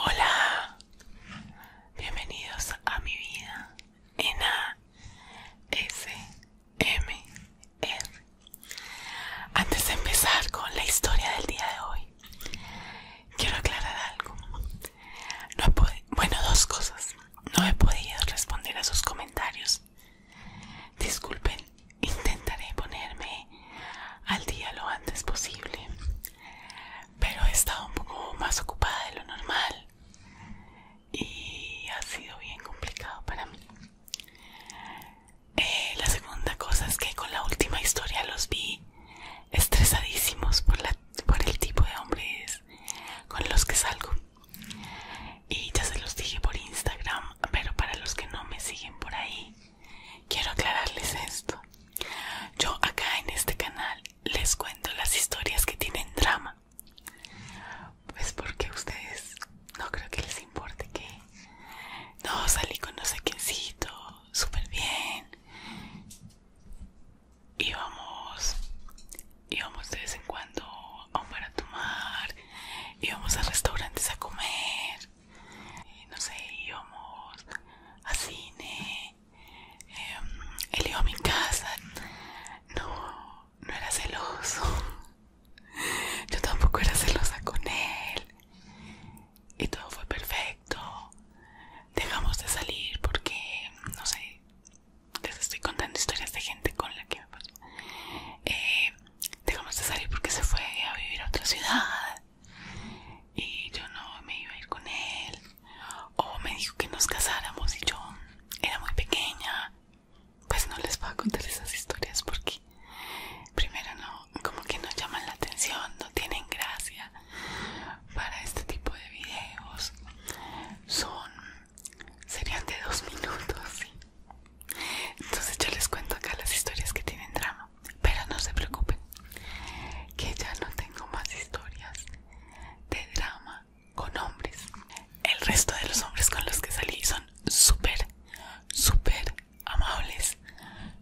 Hola, bienvenidos a mi vida en A S M Antes de empezar con la historia del día de hoy, quiero aclarar algo. No bueno, dos cosas. No he podido responder a sus comentarios. Disculpen, intentaré ponerme al día lo antes posible. Pero he estado un poco más ocupada de lo normal. Y ha sido bien complicado para mí. Eh, la segunda cosa es que con la última historia los vi estresadísimos por, la, por el tipo de hombres con los que salgo. Y ya se los dije por Instagram, pero para los que no me siguen por ahí, quiero aclararles esto. Yo acá en este canal les cuento las historias que tienen drama. Pues porque ustedes no creo que les importe que no salí con no sé súper bien íbamos, íbamos de vez en cuando a un bar a tomar, íbamos a restaurantes a comer, no sé, íbamos a cine, em, él iba a mi casa, no, no era celoso, yo tampoco era celosa con él, y todo fue perfecto. Dejamos de salir porque, no sé, les estoy contando historias de gente con la que me pasó. Eh, dejamos de salir porque se fue a vivir a otra ciudad y yo no me iba a ir con él. O me dijo que nos casáramos y yo era muy pequeña. Pues no les voy a contar esas historias porque primero no, como que no llaman la atención, no tienen gracia para este tipo de videos son serían de dos minutos entonces yo les cuento acá las historias que tienen drama pero no se preocupen que ya no tengo más historias de drama con hombres el resto de los hombres con los que salí son súper súper amables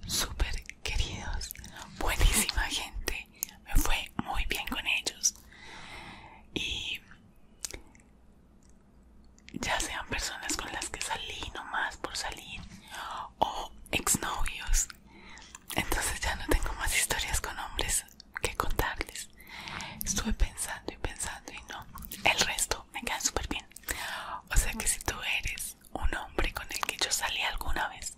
súper queridos buenísima gente me fue muy bien con ellos y ya sean personas con las que salí nomás por salir o exnovios entonces ya no tengo más historias con hombres que contarles estuve pensando y pensando y no el resto me quedan súper bien o sea que si tú eres un hombre con el que yo salí alguna vez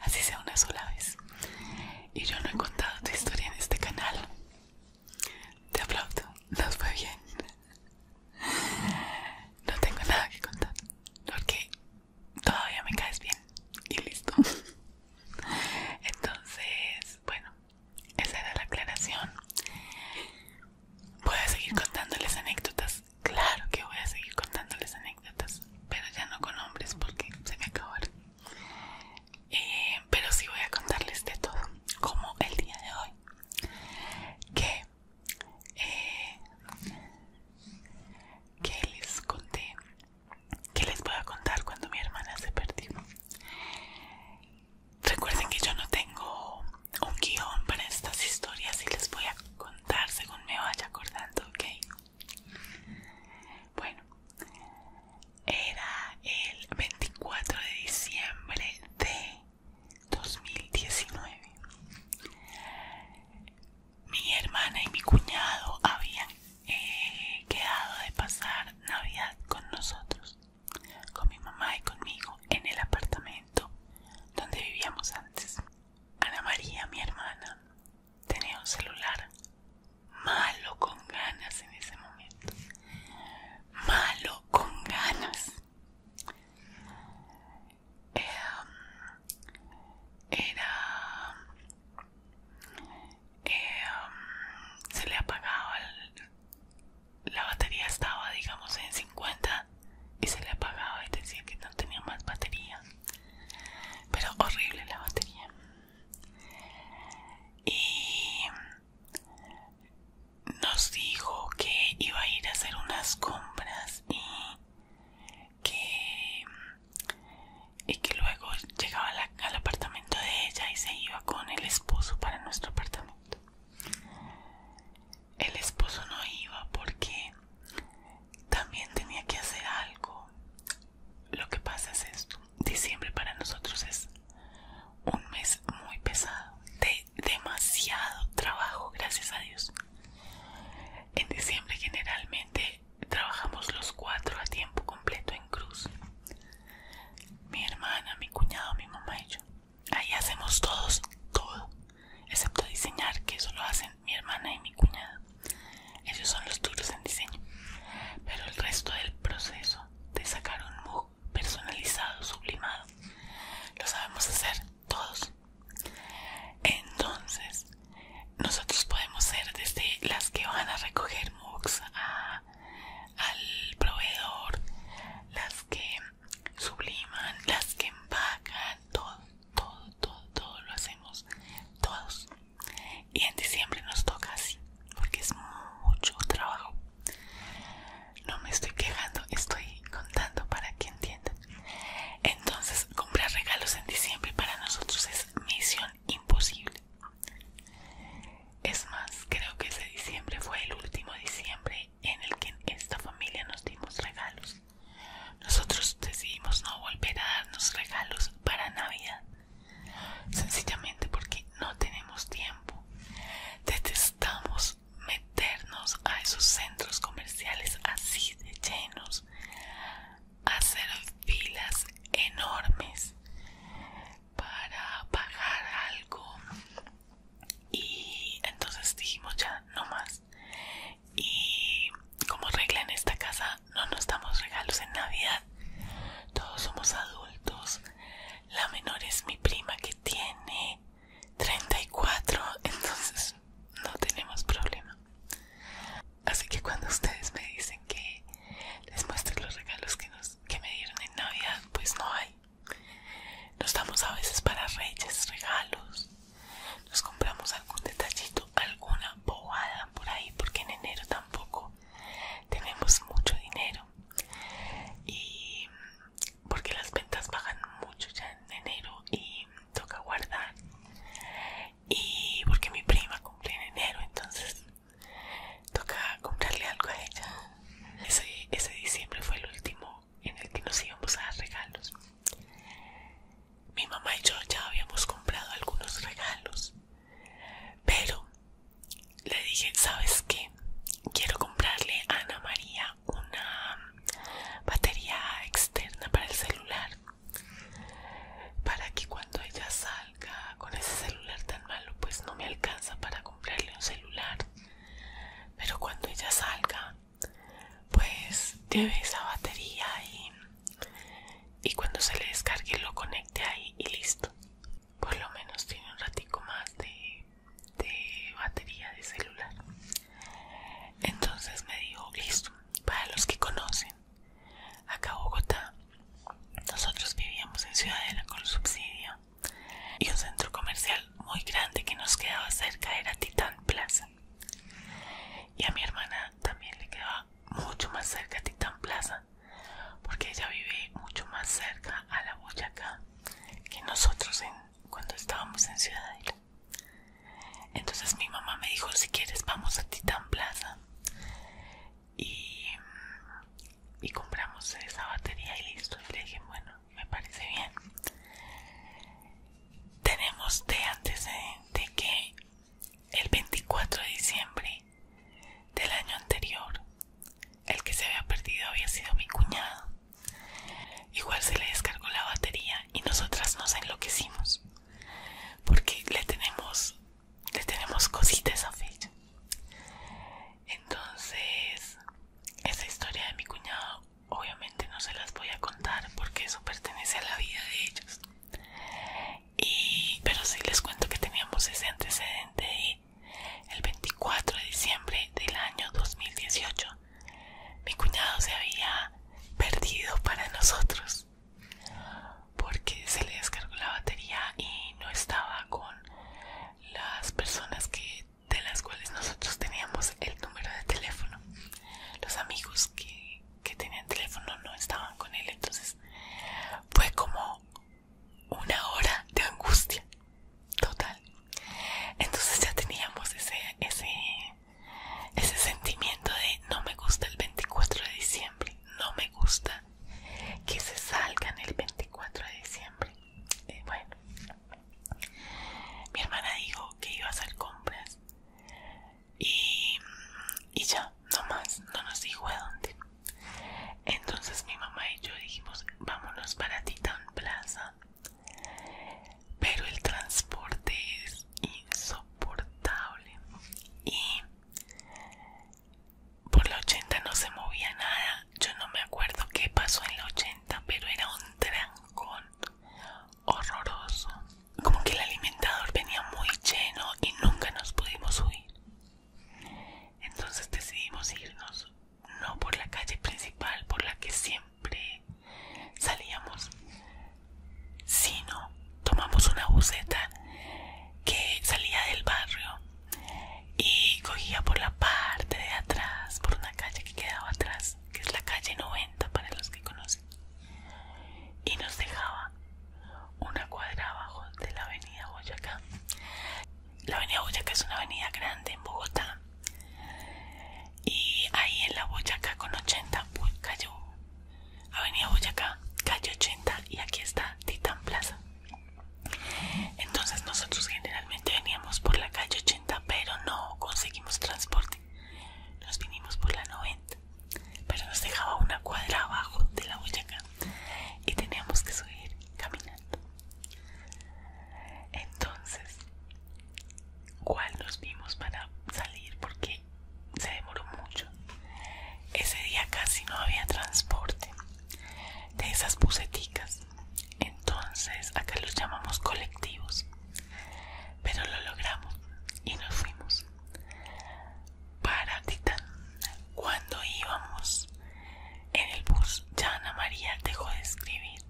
así sea una sola vez. Y yo no he contado tu historia en este canal. Te aplaudo, nos fue bien. No tengo nada que contar porque todavía me caes bien y listo. Entonces, bueno, esa era la aclaración. Voy a seguir contándoles anécdotas claro que voy a seguir contándoles anécdotas, pero ya no con hombres porque se me acabaron. Eh, pero sí voy a contarles de todo, como el día de hoy, que, eh, que les conté, que les voy a contar cuando mi hermana se perdió. Recuerden que yo no tengo un guión para estas historias y les voy a contar según me vaya acordando, ¿ok? Bueno, era el 24 de diciembre de 2019. Mi hermana y mi cuñado habían eh, quedado de pasar Navidad con nosotros, con mi mamá y conmigo, en el apartamento donde vivíamos antes. Ana María, mi hermana, tenía un celular malo con ganas en ese momento. Malo con ganas. Em, era... Em, se le apagaba la batería estaba digamos en 50 y se le apagaba y decía que no tenía más batería pero horrible la batería y nos dijo que iba a ir a hacer unas compras y que luego llegaba al apartamento de ella y se iba con el esposo para nuestro apartamento el esposo no iba porque también tenía que hacer algo. Lo que pasa es esto. Diciembre para nosotros es un mes muy pesado. De demasiado trabajo, gracias a Dios. En diciembre generalmente trabajamos los cuatro a tiempo completo en cruz. Mi hermana, mi cuñado, mi mamá y yo. Ahí hacemos todos todo, excepto diseñar, que eso lo hacen mi hermana y mi cuñado. Ellos son los duros en diseño, pero el resto del proceso de sacar un MOOC personalizado, sublimado, lo sabemos hacer todos. Entonces, nosotros podemos ser desde las que van a recoger MOOCs al proveedor, las que subliman, las que empacan, todo todo, todo, todo lo hacemos todos. Y en diciembre nos toca así, porque es mucho trabajo. No me estoy quejando, estoy contando para que entiendan. Entonces, comprar regalos en diciembre para nosotros es misión imposible. Es más, creo que ese diciembre fue el último diciembre en el que en esta familia nos dimos regalos. Nosotros decidimos no volver a darnos regalos para Navidad, sencillamente porque no tenemos tiempo. Detestamos meternos a esos centros comerciales así de llenos, hacer filas enormes para pagar algo. Y entonces dijimos ya no más y como regla en esta casa no nos damos regalos en Navidad. Todos somos adultos. La menor es mi prima que tiene 34, entonces no tenemos problema. Así que cuando ustedes me dicen que les muestre los regalos que, que me dieron en Navidad, pues no hay. Nos damos a veces para reyes, regalos, nos compramos algún detallito, alguna bobada por ahí, porque en enero tampoco tenemos mucho dinero y porque las ventas bajan mucho ya en enero y toca guardar y porque mi prima cumple en enero entonces toca comprarle algo a ella ese, ese diciembre fue el último en el que nos íbamos a dar regalos mi mamá y yo ya habíamos comprado algunos regalos, pero le dije, ¿sabes qué? Quiero comprarle a Ana María una batería externa para el celular, para que cuando ella salga con ese celular tan malo, pues no me alcanza para comprarle un celular, pero cuando ella salga pues lleve esa batería y, cuando se le descargue lo conecte ahí y listo por lo menos tiene un ratico más de, batería de celular entonces me dijo listo para los que conocen acá Bogotá nosotros vivíamos en Ciudadela con subsidio y un centro comercial muy grande que nos quedaba cerca era Titan Plaza y a mi hermana también le quedaba mucho más cerca Titán Plaza, porque ella vive mucho más cerca a la Boyaca que nosotros cuando estábamos en Ciudadela. Entonces mi mamá me dijo, si quieres vamos a Titán Plaza. Y, y compramos esa batería y listo. Y le dije, bueno, me parece bien. Tenemos de antecedente que el 24 de diciembre del año anterior. El que se había perdido había sido mi cuñado. Igual se le descargó la batería y nosotras nos enloquecimos porque le tenemos le tenemos cositas a fecha. Entonces, esa historia de mi cuñado obviamente no se las voy a contar porque eso pertenece a la vida de ellos pero si les cuento que teníamos ese antecedente y el 24 de diciembre del año 2018 mi cuñado se había perdido para nosotros porque se le descargó la batería y no estaba con las personas que de las cuales nosotros teníamos el número de teléfono los amigos que que tenían teléfono no estaban con él, entonces fue como una hora de angustia total. Entonces ya teníamos ese, ese, ese sentimiento de no me gusta el 24 de diciembre, no me gusta que se salgan el 24 de diciembre. bueno, mi hermana dijo que iba a hacer compras y, y ya, no más, no nos dijo a dónde. Entonces mi mamá y yo dijimos, vámonos para Titan Plaza. Pero el transporte es insoportable y por la 80 no se movía nada. Yo no me acuerdo qué pasó en la 80, pero era un trancón, horroroso. Como que el alimentador venía muy lleno y nunca nos pudimos huir. Entonces decidimos irnos, no por la calle principal por la que siempre salíamos, sino tomamos una buseta que salía del barrio y cogía por la parte de atrás, por una calle que quedaba atrás, que es la calle 90 para los que conocen y nos dejaba una cuadra abajo de la avenida Boyacá. La avenida Boyacá es una avenida grande en Bogotá y ahí en la Boyacá con 80 cayó Avenida Boyacá, calle 80 y aquí está Titán Plaza. Entonces nosotros generalmente veníamos por la calle 80 pero no conseguimos transporte. Nos vinimos por la 90 pero nos dejaba una cuadra abajo de la Boyacá y teníamos que subir caminando. Entonces, ¿cuál nos vimos para salir? Porque se demoró mucho. Ese día casi no había transporte de esas buseticas. Entonces, acá los llamamos colectivos. Pero lo logramos y nos fuimos para Titan. Cuando íbamos en el bus, ya Ana María dejó de escribir.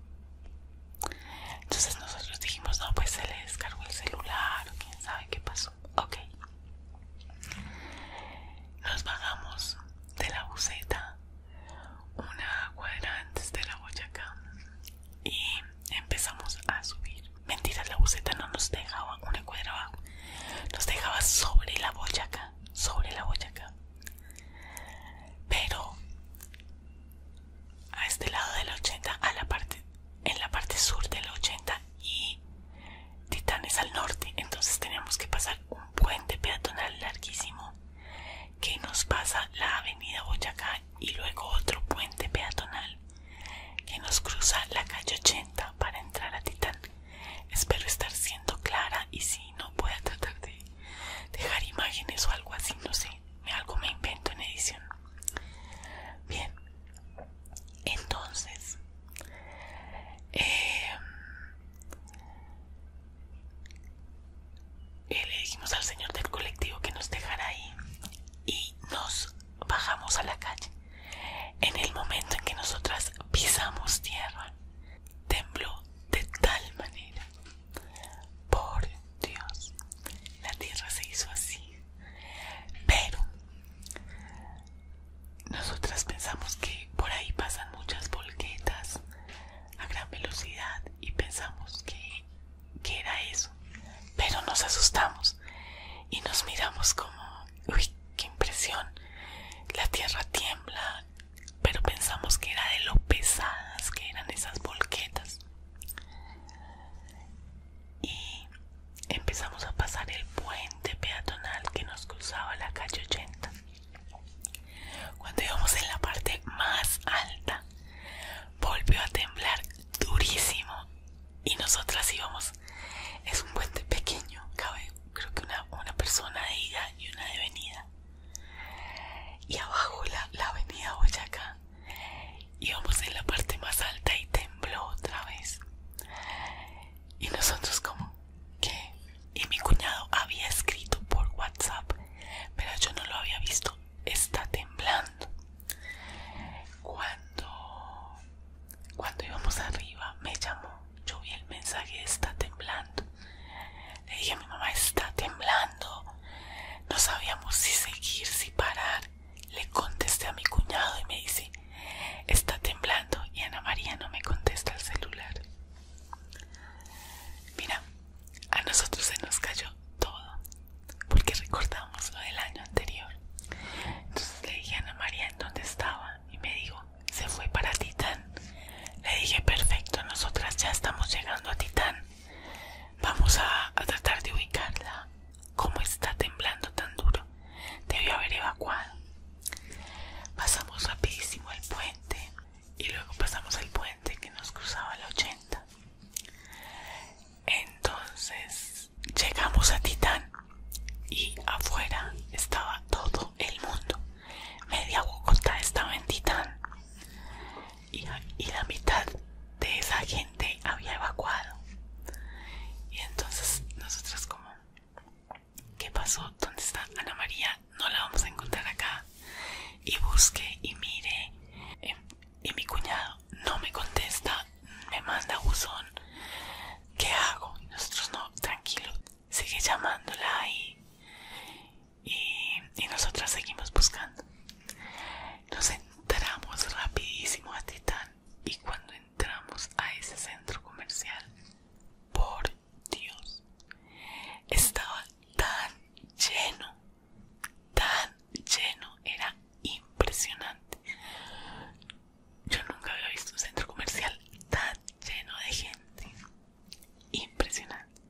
Entonces nosotros dijimos, no, pues se le descargó el celular o quién sabe qué pasó. Ok. Nos bajamos de la buseta una cuadra antes de la Boyacá y empezamos a subir. Mentiras, la buceta no nos dejaba una cuadra abajo. Nos dejaba sobre la boyaca. Sobre la boyaca. Pero a este lado del 80, a la parte, en la parte sur del 80 y Titanes al norte. Entonces teníamos que pasar un puente peatonal larguísimo que nos pasa la avenida Boyacá y luego otro puente peatonal que nos cruza la calle 80 para entrar a Titán. Espero estar siendo clara y si no voy a tratar de dejar imágenes o algo así, no sé, algo me invento en edición. Bien, entonces, eh, le dijimos al señor del colectivo que nos dejara ahí y nos bajamos a la calle. En el momento en que nosotras pisamos tierra, tembló de tal manera. Por Dios, la tierra se hizo así. Pero nosotras pensamos que por ahí pasan muchas volquetas a gran velocidad y pensamos que que era eso, pero nos asustamos y nos miramos como, uy, qué impresión, la tierra tiembla, pero pensamos que era de lo pesadas que eran esas volquetas. Y empezamos a pasar el puente peatonal que nos cruzaba la calle 80. Cuando íbamos en la parte más alta, volvió a temblar durísimo y nosotras íbamos. Es un puente pequeño, cabe creo que una, una persona de ida y una de venida. Y abajo la, la avenida Boyacá. Íbamos en la parte más alta y tembló otra vez. Y nosotros como, ¿qué? Y mi cuñado había escrito por WhatsApp, pero yo no lo había visto está temblando. Cuando, cuando íbamos arriba me llamó, yo vi el mensaje está temblando. Le dije a mi mamá está temblando. No sabíamos si seguir, si parar. Le contesté a mi cuñado y me dice está temblando y Ana María no me contesta el celular. Mira, a nosotros se nos cayó todo porque recordamos lo del año anterior. Entonces le dije a Ana María en dónde estaba y me dijo, se fue para Titán. Le dije, perfecto, nosotras ya estamos llegando a Titán. Vamos a, tratar de ubicarla. ¿Cómo está temblando tan duro? Debió haber evacuado. Pasamos rapidísimo el puente y luego pasamos al puente que nos cruzaba la 80. Entonces llegamos a Titán y afuera estaba todo el mundo. Media Bogotá estaba en Titán y, la mitad de esa gente había evacuado. Y entonces nosotros como, ¿qué pasó? ¿Dónde está Ana María? No la vamos a encontrar acá. Y busque y mire. Em, y mi cuñado no me contesta, me manda buzón. ¿Qué hago? nosotros no, tranquilo, sigue llamándola ahí y, nosotras seguimos buscando. Nos entramos rapidísimo a Titán y cuando entramos a ese centro comercial, por Dios, estaba tan lleno tan lleno, era impresionante. Yo nunca había visto un centro comercial tan lleno de gente. Impresionante.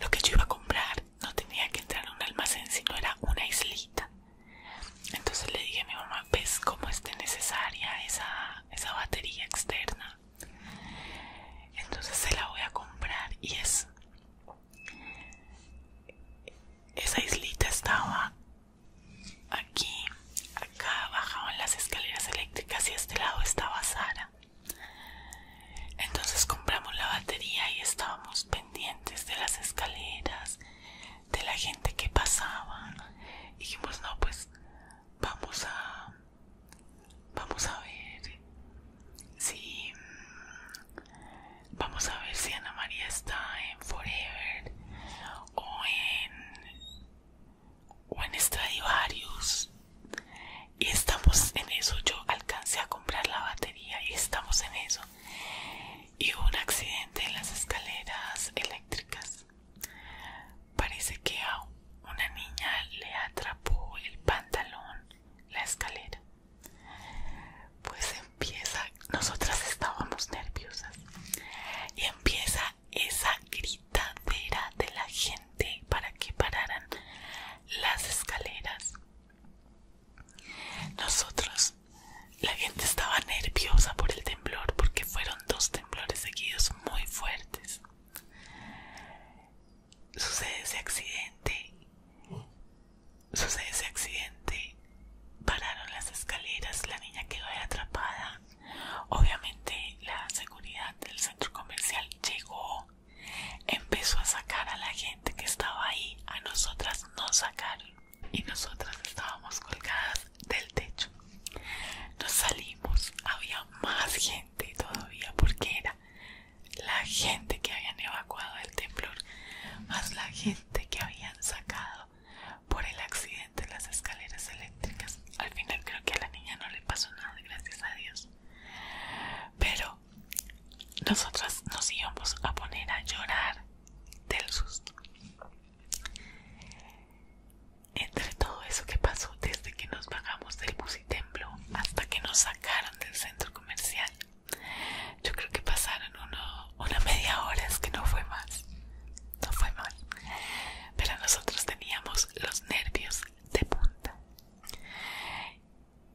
Lo que yo iba a comprar no tenía que entrar a un almacén, sino era una islita. Entonces le dije a mi mamá, ¿ves cómo es tan necesaria esa batería externa? Entonces se la voy a comprar y es esa islita estaba aquí, acá bajaban las escaleras eléctricas y este lado estaba Sara. Entonces compramos la batería y estábamos pendientes de las escaleras, de la gente que pasaba. dijimos, no, pues vamos a... Vamos a ver si Vamos a ver si Ana María está en Forever o en, en Stradivarius. Y estamos en eso. Yo alcancé a comprar la batería y estamos en eso. Y hubo un accidente en las escaleras eléctricas. Parece que a una niña le atrapó el pantalón la escalera. Pues empieza, nosotras estábamos nerviosas y empieza esa gritadera de la gente para que pararan las escaleras. Nosotros, la gente estaba nerviosa por el temblor porque fueron dos temblores seguidos muy fuertes. Sucede ese accidente Sucede ese accidente, pararon las escaleras, la niña quedó atrapada. Obviamente la seguridad del centro comercial llegó, empezó a sacar a la gente que estaba ahí, a nosotras nos sacaron y nosotras estábamos colgadas del techo. Nos salimos, había más gente todavía porque era la gente que habían evacuado del temblor, más la gente que habían sacado por el accidente de las escaleras eléctricas. Al final creo que a la niña no le pasó nada, gracias a Dios. Pero nosotras nos íbamos a poner a llorar del susto. Entre todo eso que pasó desde que nos bajamos del bus y hasta que nos sacaron del centro comercial yo creo que pasaron una media hora, es que no fue más. No fue mal. Pero nosotros teníamos los nervios de punta.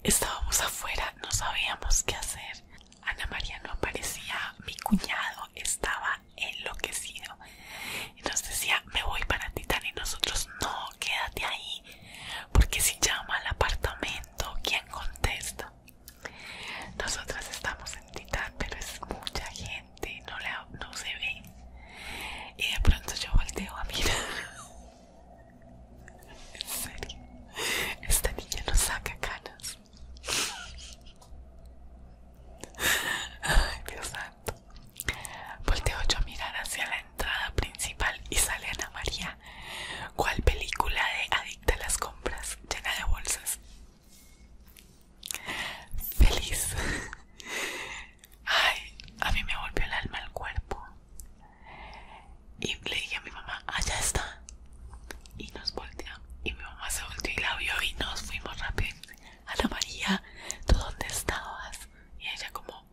Estábamos afuera, no sabíamos qué hacer. Ana María no aparecía, mi cuñado estaba enloquecido y nos decía, me voy para Titán y nosotros no, quédate ahí, porque si llama al apartamento, ¿quién contesta? Nosotras estamos en Titán pero es mucha gente, no, no se ve. Y de pronto yo volteo a mirar. En serio, esta niña nos saca canas. Ay, Dios santo. Volteo yo a mirar hacia la entrada principal y sale Ana María ¿cuál película de Adicta a las compras llena de bolsas? Feliz. Ay, a mí me volvió el alma al cuerpo. Y le dije a mi mamá, allá está. Y nos volteó Y mi mamá se volteó y la vio y nos fuimos rápido. la María, ¿tú dónde estabas? Y ella como,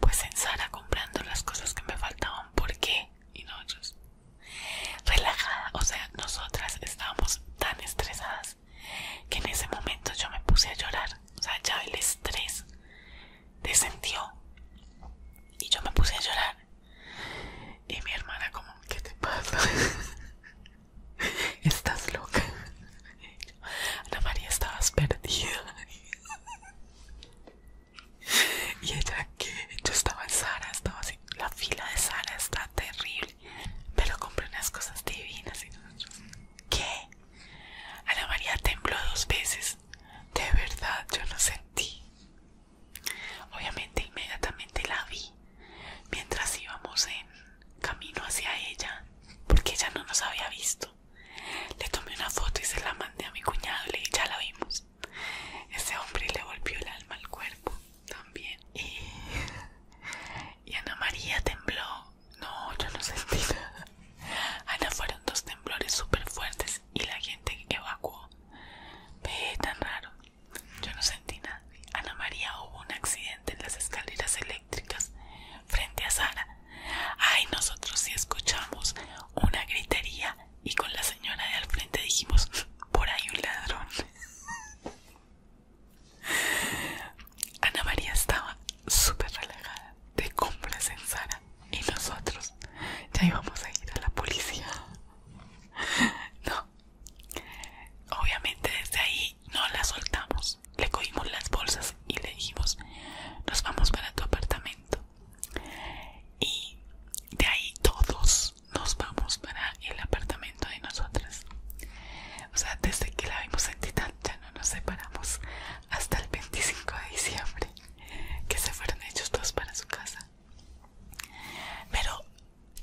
pues en Sara comprando las cosas que me faltaban porque y nosotros relajada, o sea, nosotras estábamos tan estresadas que en ese momento yo me puse a llorar, o sea, ya el estrés descendió y yo me puse a llorar y mi hermana como, ¿qué te pasa? Estás loca. Ana María, estabas perdida. Y ella que yo estaba en Sara, estaba así, la fila de Sara está terrible, pero compré unas cosas divinas y nosotros, ¿qué? Ana María tembló dos veces, de verdad yo no sentí. Obviamente inmediatamente la vi mientras íbamos en camino hacia ella, porque ella no nos había visto. Le tomé una foto y se la mandé a mi cuñado y ya la vimos. Ese hombre le volvió el alma al cuerpo también. Y, Ana María tembló. No, yo no sentí nada. Ana fueron dos temblores súper fuertes y la gente evacuó. Ve, tan raro. Yo no sentí nada. Ana María hubo un accidente en las escaleras eléctricas frente a Sara. Ay, nosotros sí escuchamos una gritería y con la señora de al frente dijimos por ahí un ladrón Ana María estaba súper relajada de compras en Sara y nosotros ya íbamos a ir a la policía no obviamente desde ahí no la soltamos le cogimos las bolsas y le dijimos nos vamos para tu apartamento y de ahí todos nos vamos para el apartamento de nosotras o sea desde que la vimos en ya no nos separamos hasta el 25 de diciembre que se fueron ellos dos para su casa pero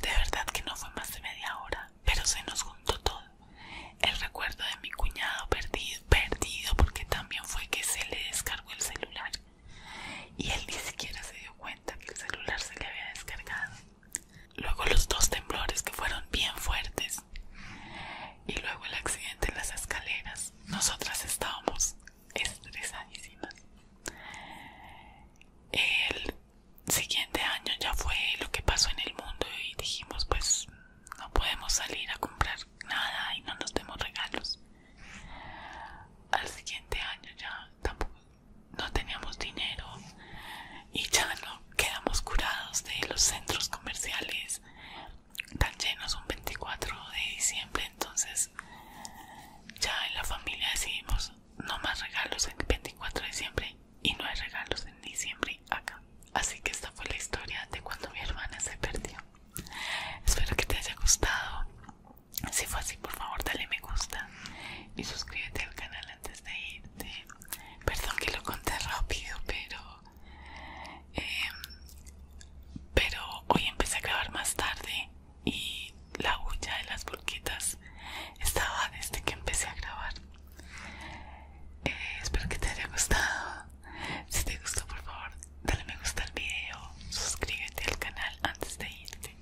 de verdad que no fue más de media hora pero se nos juntó todo el recuerdo de mi cuñado perdido perdido porque también fue que se le descargó el celular y él ni siquiera se dio cuenta que el celular se le había descargado. Luego los dos temblores que fueron bien fuertes y luego el accidente en las escaleras. Nosotras estábamos estresadísimas. El siguiente año ya fue lo que pasó en el mundo y dijimos pues no podemos salir a comprar nada y no nos demos regalos. Al siguiente año ya tampoco no teníamos dinero y ya no quedamos curados de los centros comerciales tan llenos un 24 de diciembre. Entonces ya en la familia decidimos no más regalos el 24 de diciembre y no hay regalos en diciembre acá. Así que esta fue la historia de cuando mi hermana se perdió. Espero que te haya gustado. Si fue así, por favor, dale me gusta y suscríbete al canal antes de irte. Perdón que lo conté rápido, pero. Em, pero hoy empecé a grabar más tarde y la bulla de las burquitas estaba desde que empecé a grabar. Eh, espero que te haya gustado. Si te gustó, por favor, dale me gusta al video, suscríbete al canal antes de irte.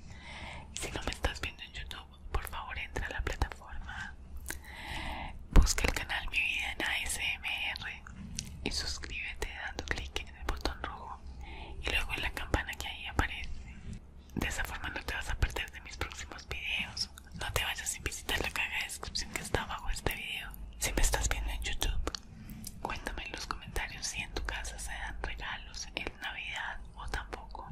Si no me estás viendo en YouTube, por favor entra a la plataforma, busca el canal Mi Vida en ASMR y suscríbete dando clic en el botón rojo y luego en la campana que ahí aparece. De esa forma no te vas a perder de mis próximos videos. No te vayas sin visitar la caja de descripción que está abajo de este video. Si me estás viendo en YouTube, Cuéntame en los comentarios si en tu casa se dan regalos en Navidad o tampoco.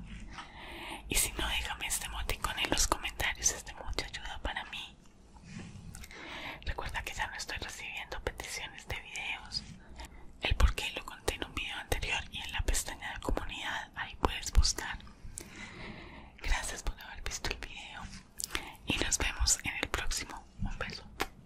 Y si no, déjame este moticón en los comentarios, es de mucha ayuda para mí. Recuerda que ya no estoy recibiendo peticiones de videos. El por qué lo conté en un video anterior y en la pestaña de comunidad, ahí puedes buscar. Gracias por haber visto el video y nos vemos en el próximo. Un beso.